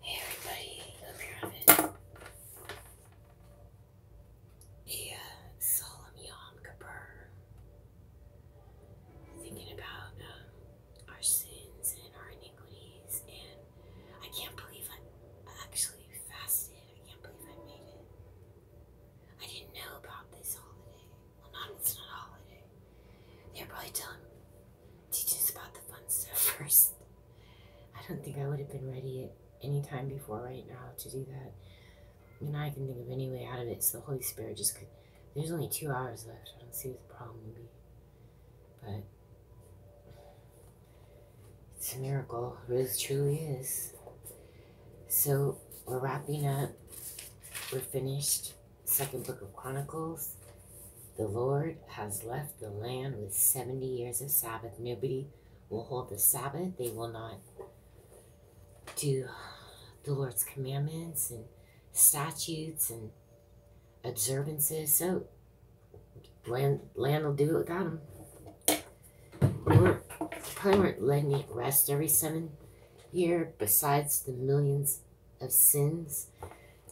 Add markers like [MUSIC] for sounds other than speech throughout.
Hey everybody, let solemn Yom Kippur. Thinking about um, our sins and our iniquities, and I can't believe I actually fasted. I can't believe I made it. I didn't know about this holiday. Well, Mom, it's not holiday. They're probably telling, teaching us about the fun stuff [LAUGHS] first. I don't think I would have been ready at any time before right now to do that. And I can think of any way out of it, so the Holy Spirit just could. There's only two hours left. I don't see what the problem would be. But it's a miracle. It really truly is. So we're wrapping up. We're finished second book of Chronicles, the Lord has left the land with 70 years of Sabbath. Nobody will hold the Sabbath. They will not do the Lord's commandments and statutes and observances. So land, land will do it without them. We weren't, probably weren't letting it rest every seven year besides the millions of sins.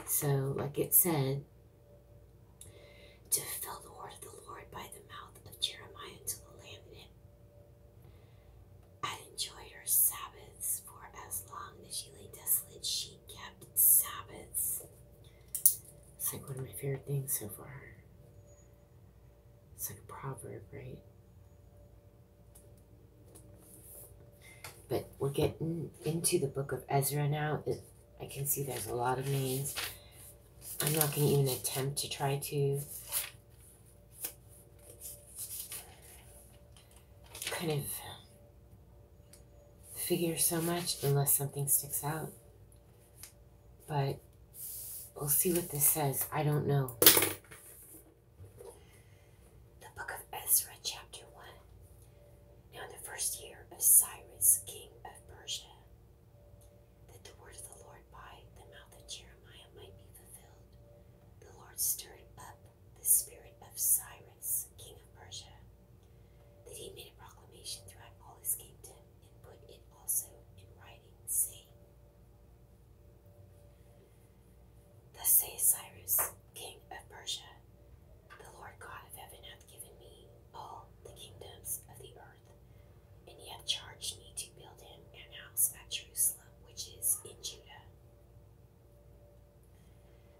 So, like it said, to fill the word of the Lord by the mouth of Jeremiah to the land in it. I enjoyed your Sabbaths, for as long as she lay desolate, she kept Sabbaths. It's like one of my favorite things so far. It's like a proverb, right? But we're getting into the book of Ezra now. I can see there's a lot of names. I'm not going to even attempt to try to kind of figure so much unless something sticks out. But we'll see what this says. I don't know. The Book of Ezra, Chapter 1. Now, in the first year of Cyrus, king of Persia, that the word of the Lord by the mouth of Jeremiah might be fulfilled, the Lord stirred up the spirit of Cyrus, king of Persia, that he made a proclamation throughout all his kingdom and put it also in writing, saying, the says Cyrus, king of Persia The Lord God of heaven hath given me all the kingdoms of the earth, and he hath charged me to build him an house at Jerusalem, which is in Judah.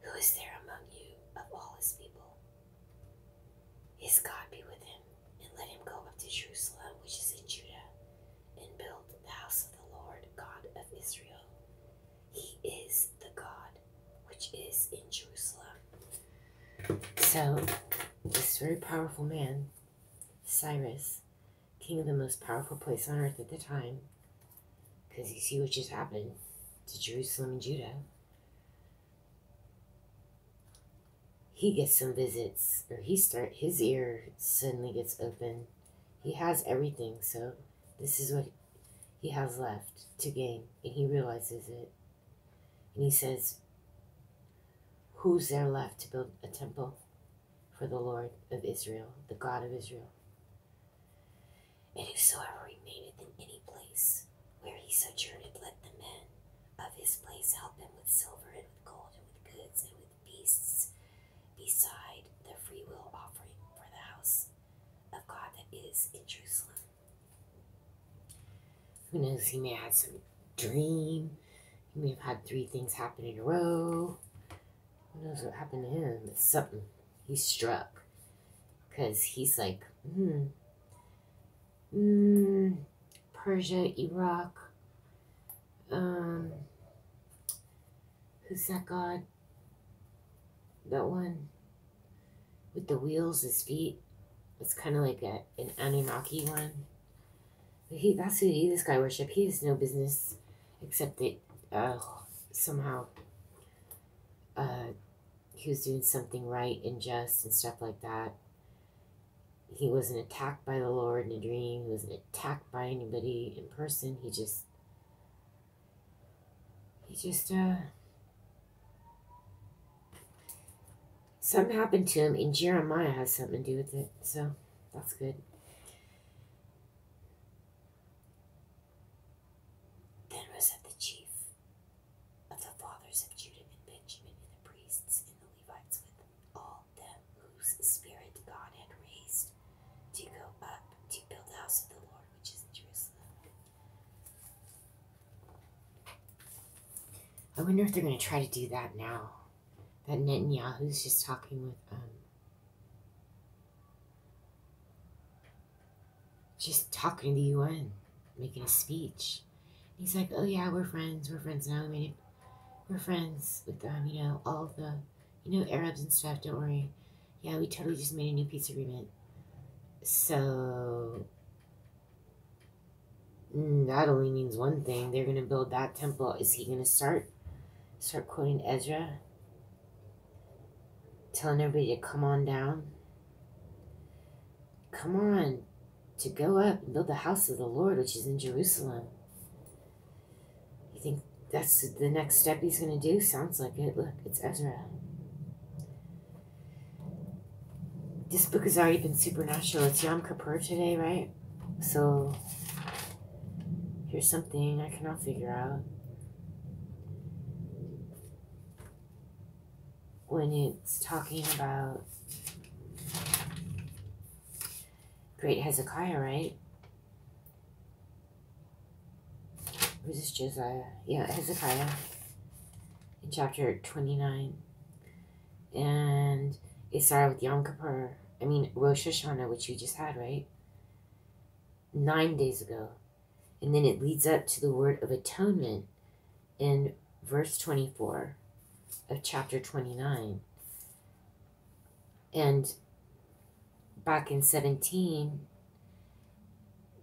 Who is there among you of all his people? His God be with him, and let him go up to Jerusalem, which is in Judah, and build the house of the Lord God of Israel. He is the God which is in Jerusalem. So, this very powerful man, Cyrus, king of the most powerful place on earth at the time, because you see what just happened to Jerusalem and Judah. He gets some visits, or he start his ear suddenly gets open he has everything, so this is what he has left to gain, and he realizes it. And he says, Who's there left to build a temple for the Lord of Israel, the God of Israel? And whosoever remaineth in any place where he sojourneth, let the men of his place help him with silver and with gold and with goods and with beasts beside the freewill offering for the house of God that is in Jerusalem. Who knows? He may have had some dream. He may have had three things happen in a row. Who knows what happened to him? It's something. He struck. Because he's like, hmm. hmm, Persia, Iraq, um, who's that god? That one with the wheels, his feet. It's kind of like a, an Anunnaki one. he, that's who he, this guy worship. He has no business except that uh, somehow uh, he was doing something right and just and stuff like that. He wasn't attacked by the Lord in a dream. He wasn't attacked by anybody in person. He just he just uh something happened to him and Jeremiah has something to do with it, so that's good. Then was it the chief of the fathers of Judah and Benjamin and the priests and the Levites with all them whose spirit God had raised to go up to build the house of the Lord, which is Jerusalem. I wonder if they're going to try to do that now. That Netanyahu's just talking with um, just talking to the UN, making a speech. He's like, oh yeah, we're friends, we're friends now. we're friends with um, you know, all the you know, Arabs and stuff, don't worry. Yeah, we totally just made a new peace agreement. So, mm, that only means one thing. They're going to build that temple. Is he going to start? Start quoting Ezra? Telling everybody to come on down? Come on, to go up and build the house of the Lord, which is in Jerusalem. You think that's the next step he's going to do? Sounds like it. Look, it's Ezra. This book has already been supernatural. It's Yom Kapur today, right? So, here's something I cannot figure out. When it's talking about Great Hezekiah, right? Was this Josiah? Yeah, Hezekiah in chapter 29. And it started with Yom Kippur. I mean, Rosh Hashanah, which we just had, right? Nine days ago. And then it leads up to the word of atonement in verse 24 of chapter 29. And back in 17,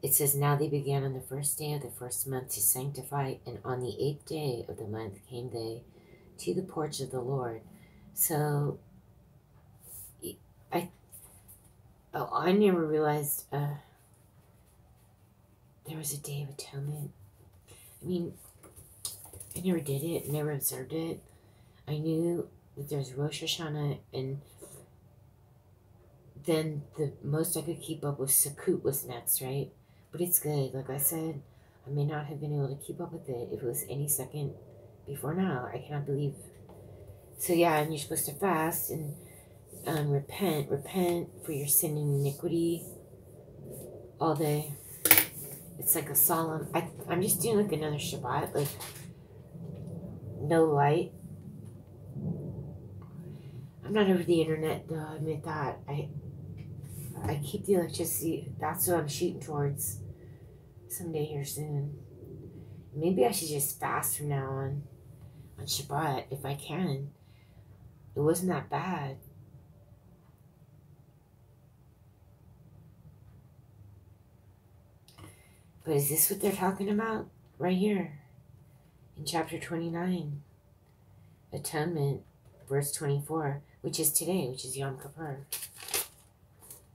it says, Now they began on the first day of the first month to sanctify, and on the eighth day of the month came they to the porch of the Lord. So, I, oh, I never realized uh, there was a day of atonement. I mean, I never did it, never observed it. I knew that there's Rosh Hashanah, and then the most I could keep up with Sukkot was next, right? But it's good. Like I said, I may not have been able to keep up with it if it was any second before now. I cannot believe. So yeah, and you're supposed to fast and um, repent, repent for your sin and iniquity all day. It's like a solemn, I, I'm just doing like another Shabbat, like no light. I'm not over the internet, though, I admit that. I, I keep the electricity, that's what I'm shooting towards someday here soon. Maybe I should just fast from now on, on Shabbat, if I can. It wasn't that bad. But is this what they're talking about? Right here in chapter 29, Atonement, verse 24, which is today, which is Yom Kippur.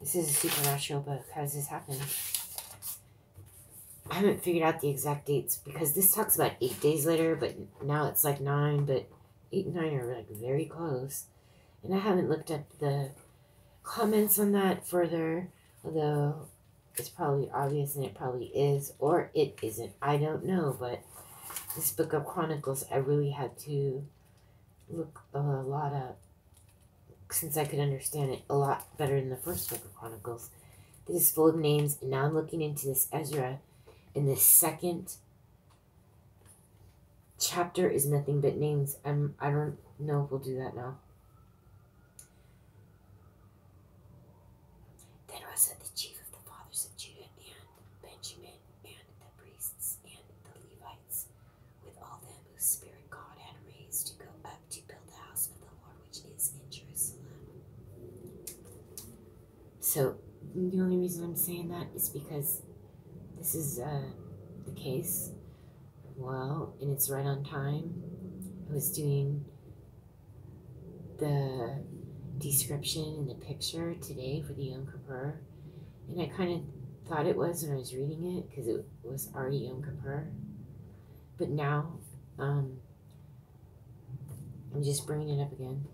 This is a supernatural book. How does this happen? I haven't figured out the exact dates because this talks about eight days later, but now it's like nine, but eight and nine are like very close and I haven't looked up the comments on that further, although it's probably obvious and it probably is, or it isn't. I don't know, but this book of Chronicles, I really had to look a lot up since I could understand it a lot better than the first book of Chronicles. This is full of names, and now I'm looking into this Ezra in the second chapter is nothing but names. I'm, I don't know if we'll do that now. Then also the chief of the fathers of Judah and Benjamin and the priests and the Levites with all them whose spirit God had raised to go up to build the house of the Lord which is in Jerusalem. So the only reason I'm saying that is because this is uh, the case. Well, and it's right on time. I was doing the description and the picture today for the Yom Kippur, and I kind of thought it was when I was reading it because it was already Yom Kippur. But now, um, I'm just bringing it up again.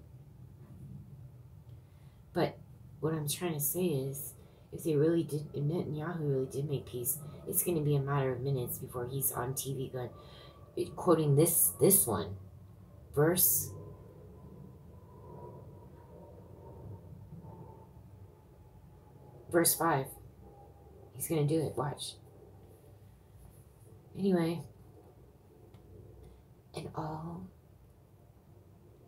But what I'm trying to say is, if they really did, if Netanyahu really did make peace, it's going to be a matter of minutes before he's on TV going, quoting this this one, verse. Verse 5. He's going to do it. Watch. Anyway. And all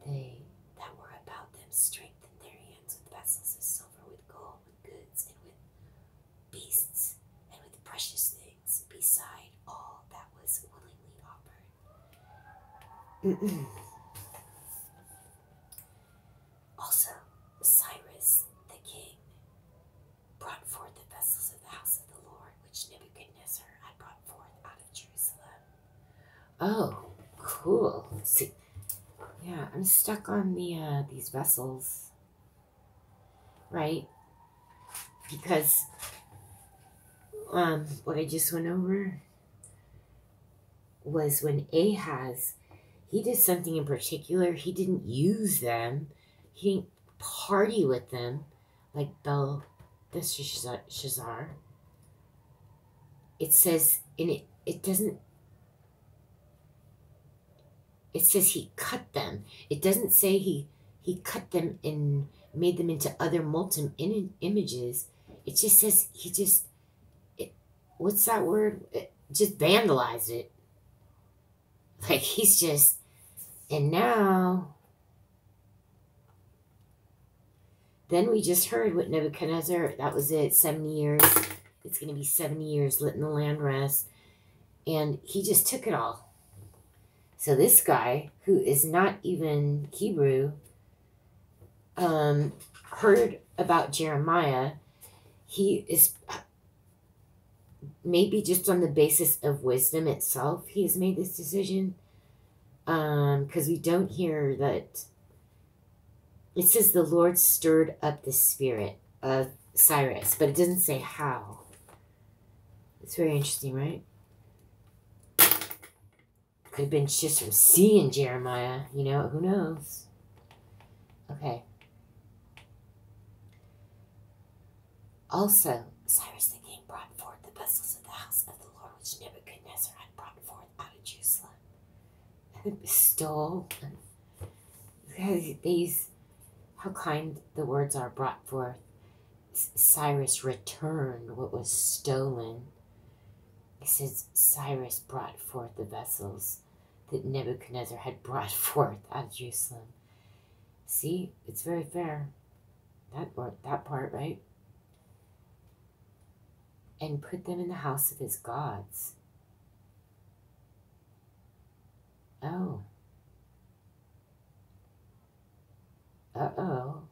they that were about them strengthened their hands with vessels of silver, with gold, with goods, and with beasts, and with precious things, beside all that was willingly offered. [CLEARS THROAT] also, Cyrus the king brought forth the vessels of the house of the Lord, which Nebuchadnezzar had brought forth out of Jerusalem Oh, cool. Let's see. Yeah, I'm stuck on the uh, these vessels. Right? Because um, what I just went over was when Ahaz, he did something in particular. He didn't use them. He didn't party with them like Bel this Shazar, it says, in it, it doesn't, it says he cut them. It doesn't say he, he cut them and made them into other molten in, images. It just says he just, it, what's that word? It, just vandalized it. Like he's just, and now then we just heard what Nebuchadnezzar, that was it, 70 years. It's going to be 70 years letting the land rest. And he just took it all. So this guy, who is not even Hebrew, um, heard about Jeremiah. He is maybe just on the basis of wisdom itself, he has made this decision because um, we don't hear that. It says the Lord stirred up the spirit of Cyrus, but it doesn't say how. It's very interesting, right? Could have been just from seeing Jeremiah, you know, who knows? Okay. Also, Cyrus the king brought forth the vessels of the house of the Lord which Nebuchadnezzar had brought forth out of Jerusalem and stole. These, how kind the words are brought forth. Cyrus returned what was stolen. It says Cyrus brought forth the vessels that Nebuchadnezzar had brought [LAUGHS] forth out of Jerusalem. See, it's very fair that part, that part, right? And put them in the house of his gods. Oh. Uh-oh.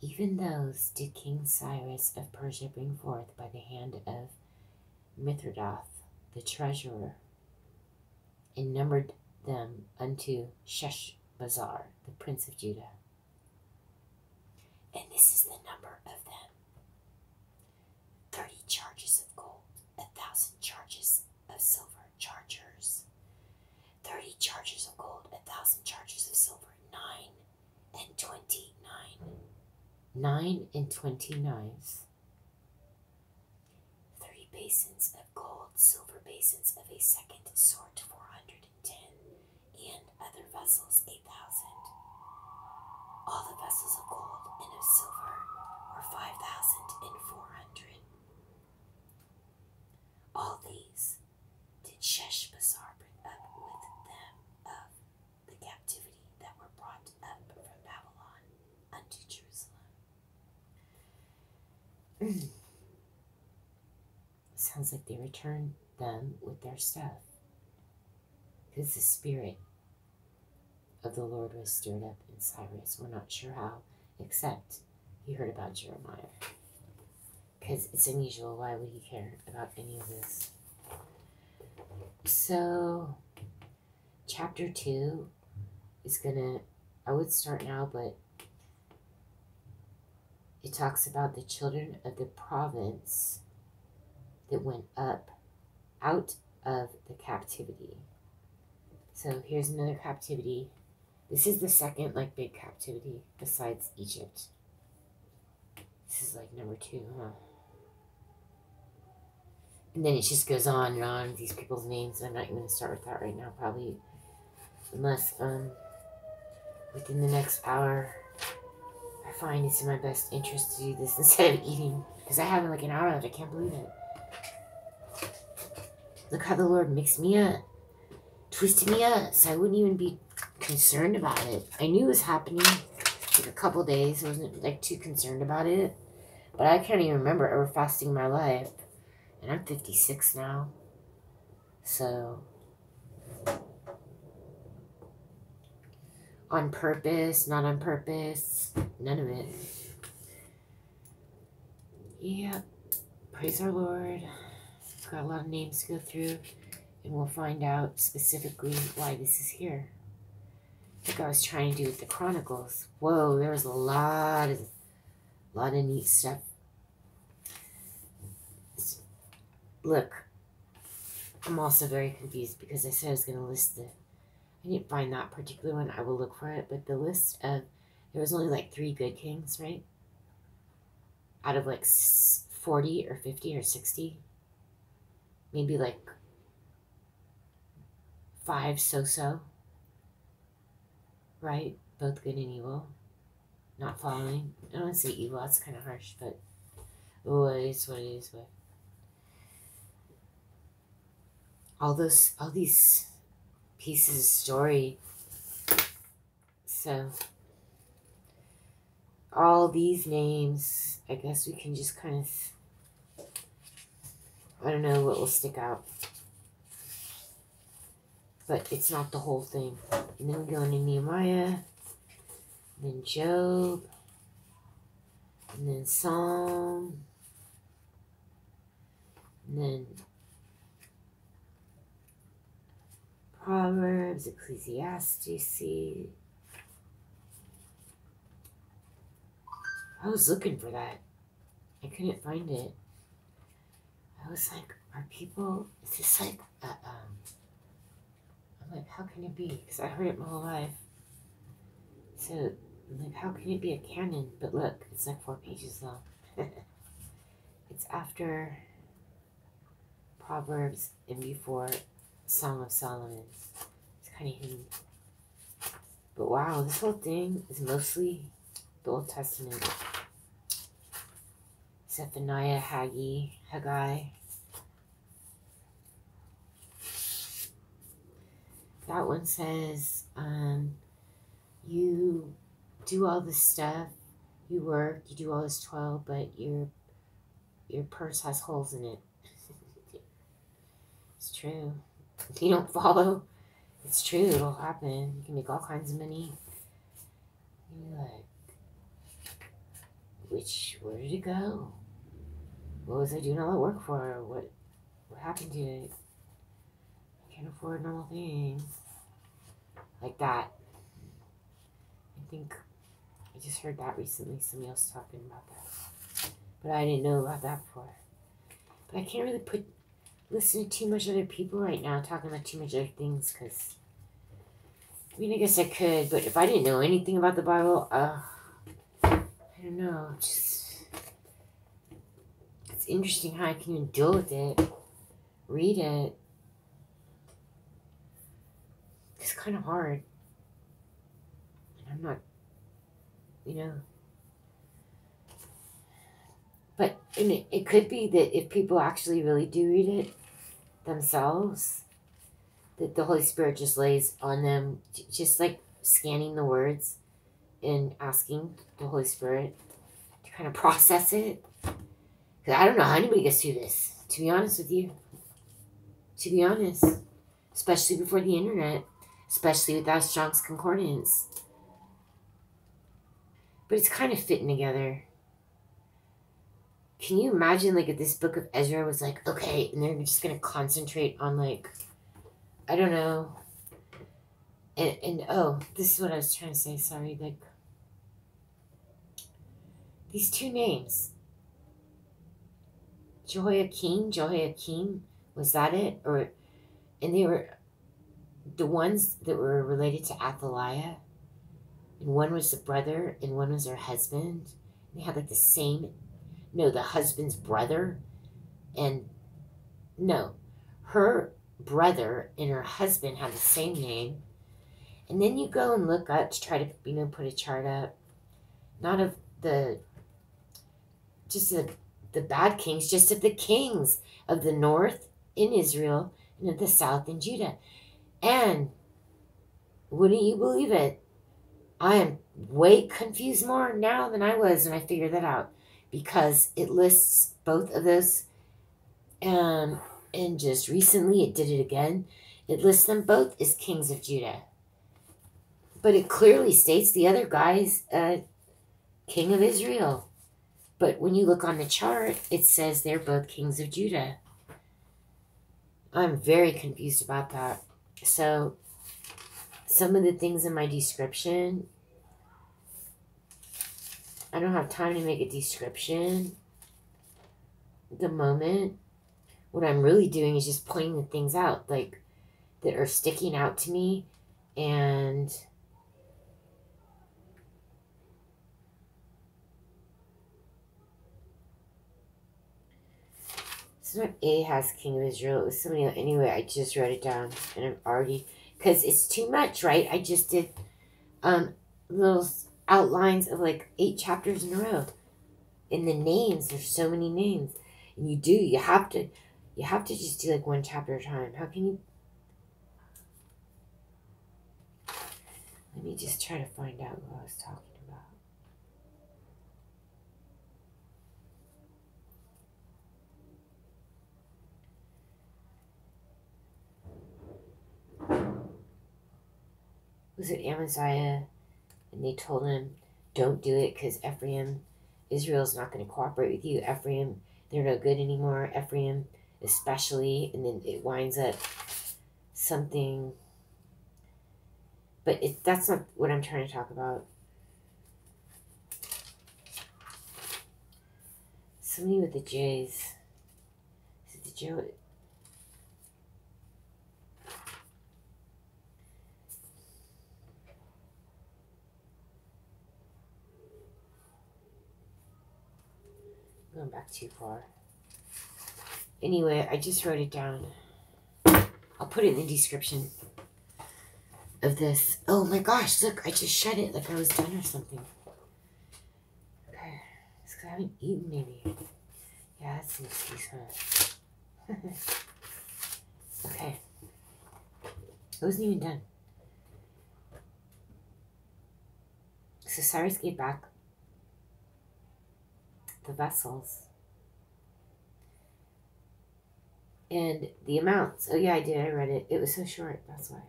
Even those did King Cyrus of Persia bring forth by the hand of Mithridath, the treasurer and numbered them unto Sheshbazzar, the prince of Judah. And this is the number of them thirty charges of gold, a thousand charges of silver chargers, thirty charges of gold, a thousand charges of silver, nine and twenty nine. Nine and twenty nine. Three basins of gold, silver basins of a second sort, four hundred and ten, and other vessels, eight thousand. All the vessels of gold and of silver were five thousand and four hundred. All these did Sheshbazzar bring up with them of the captivity that were brought up from Babylon unto Jerusalem. [CLEARS THROAT] Sounds like they returned them with their stuff. Because the spirit of the Lord was stirred up in Cyrus. We're not sure how, except he heard about Jeremiah. Because it's unusual. Why would he care about any of this? So, chapter two is gonna, I would start now, but it talks about the children of the province that went up out of the captivity. So here's another captivity. This is the second like big captivity besides Egypt. This is like number two, huh? And then it just goes on and on, these people's names. I'm not even going to start with that right now, probably. Unless, um, within the next hour, I find it's in my best interest to do this [LAUGHS] instead of eating. Because I have like an hour left. I can't believe it. Look how the Lord mixed me up. Twisted me up. So I wouldn't even be concerned about it. I knew it was happening a couple days. I wasn't like too concerned about it. But I can't even remember ever fasting my life and I'm 56 now. So, on purpose, not on purpose, none of it. Yeah, praise our Lord. Got a lot of names to go through, and we'll find out specifically why this is here. I think I was trying to do with the Chronicles. Whoa, there's a lot of a lot of neat stuff. Look, I'm also very confused because I said I was going to list the, I didn't find that particular one. I will look for it, but the list of, there was only like three good kings, right? Out of like 40 or 50 or 60. Maybe like five so-so right? Both good and evil. Not following. I don't want to say evil, that's kind of harsh, but it is what it is. What all those, all these pieces of story. So, all these names, I guess we can just kind of I don't know what will stick out. But it's not the whole thing. And then we go into Nehemiah, then Job, and then Psalm, and then Proverbs, Ecclesiastes. I was looking for that. I couldn't find it. I was like, are people, is this like, uh, um, I'm like, how can it be? Because I heard it my whole life. So, like, how can it be a canon? But look, it's like four pages long. [LAUGHS] it's after Proverbs and before Song of Solomon. It's kind of hidden. But wow, this whole thing is mostly the Old Testament. Zephaniah, Haggai, Haggai. That one says, um, you do all this stuff, you work, you do all this toil, but your your purse has holes in it. [LAUGHS] It's true. If [LAUGHS] you don't follow, it's true. It'll happen. You can make all kinds of money. You're like, which, where did it go? What was I doing all that work for? What, what happened to it? I can't afford normal things. Like that. I think I just heard that recently. Somebody else talking about that. But I didn't know about that before. But I can't really put listen to too much other people right now talking about too much other things because I mean I guess I could, but if I didn't know anything about the Bible, uh I don't know, just it's interesting how I can even deal with it, read it. It's kind of hard. And I'm not you know? But and it, it could be that if people actually really do read it themselves, that the Holy Spirit just lays on them, just like scanning the words and asking the Holy Spirit to kind of process it. Because I don't know how anybody gets through this, to be honest with you. To be honest especially before the internet, especially without Strong's Concordance. But it's kind of fitting together. Can you imagine, like, if this book of Ezra was like, okay, and they're just going to concentrate on, like, I don't know. And, and, oh, this is what I was trying to say. Sorry, like, these two names Jehoiakim, Jehoiakim, was that it? Or, and they were the ones that were related to Athaliah. And one was the brother, and one was her husband. They had like the same, no, the husband's brother. And no, her brother and her husband had the same name. And then you go and look up to try to, you know, put a chart up, not of the just the, the bad kings, just of the kings of the north in Israel and of the south in Judah. And wouldn't you believe it? I am way confused more now than I was when I figured that out because it lists both of those. Um, and just recently it did it again. It lists them both as kings of Judah. But it clearly states the other guy's uh, king of Israel. But when you look on the chart, it says they're both kings of Judah. I'm very confused about that. So, some of the things in my description, I don't have time to make a description. The moment, what I'm really doing is just pointing the things out. Like, that are sticking out to me and It's not A has King of Israel. It was somebody else. Anyway, I just wrote it down and I'm already, because it's too much, right? I just did um, little outlines of like eight chapters in a row. And the names, there's so many names. And you do, you have to you have to just do like one chapter at a time. How can you? Let me just try to find out what I was talking about. Was it Amaziah? And they told him don't do it because Ephraim, Israel is not going to cooperate with you. Ephraim, they're no good anymore. Ephraim, especially. And then it winds up something. But it, that's not what I'm trying to talk about. Somebody with the J's. Is it the J? Going back too far. Anyway, I just wrote it down. I'll put it in the description of this. Oh my gosh, look, I just shut it like I was done or something. Okay, it's because I haven't eaten maybe. Yeah, that's an excuse, [LAUGHS] okay. It wasn't even done. So Cyrus gave back the vessels and the amounts. Oh, yeah, I did. I read it. It was so short. That's why.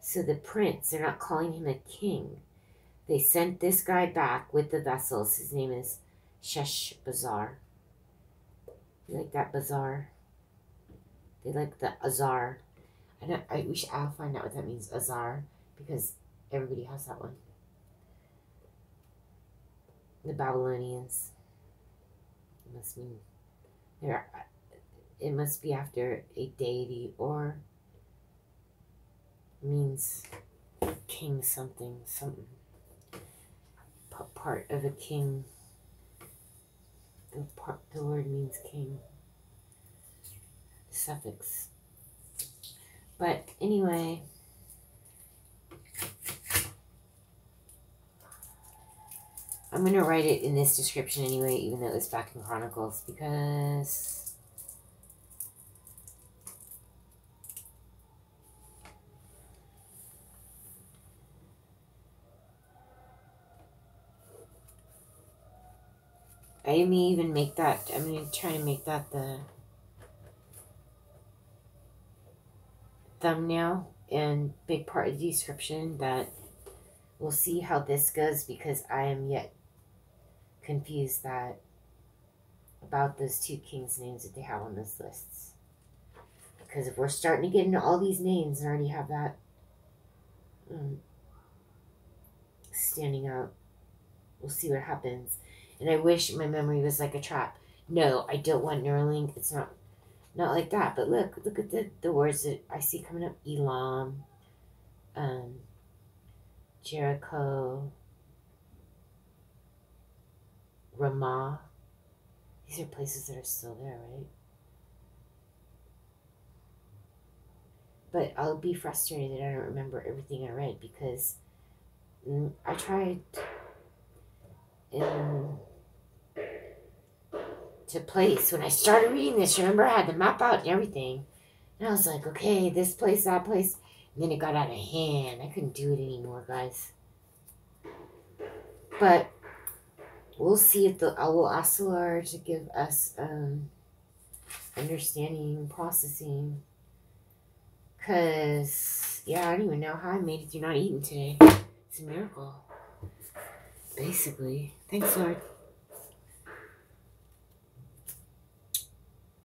So the prince, they're not calling him a king. They sent this guy back with the vessels. His name is Shesh Bazaar. You like that bazaar? They like the azar. I don't, I wish I'll find out what that means, azar, because everybody has that one. The Babylonians. must mean there. It must be after a deity or means king something, something. Part of a king. The, part, the word means king. Suffix. But anyway, I'm going to write it in this description anyway, even though it's back in Chronicles, because I may even make that, I'm going to try to make that the thumbnail and big part of the description that we'll see how this goes because I am yet confused that about those two kings' names that they have on those lists. Because if we're starting to get into all these names and already have that um, standing out, we'll see what happens. And I wish my memory was like a trap. No, I don't want Neuralink. It's not not like that. But look, look at the, the words that I see coming up. Elam, um, Jericho, Ramah. These are places that are still there, right? But I'll be frustrated I don't remember everything I read because mm, I tried to place when I started reading this. Remember, I had the map out and everything. And I was like, okay, this place, that place then it got out of hand. I couldn't do it anymore, guys. But we'll see if the uh, will ask the to give us um, understanding, processing. Cause yeah, I don't even know how I made it through not eating today. It's a miracle. Basically. Thanks, Lord.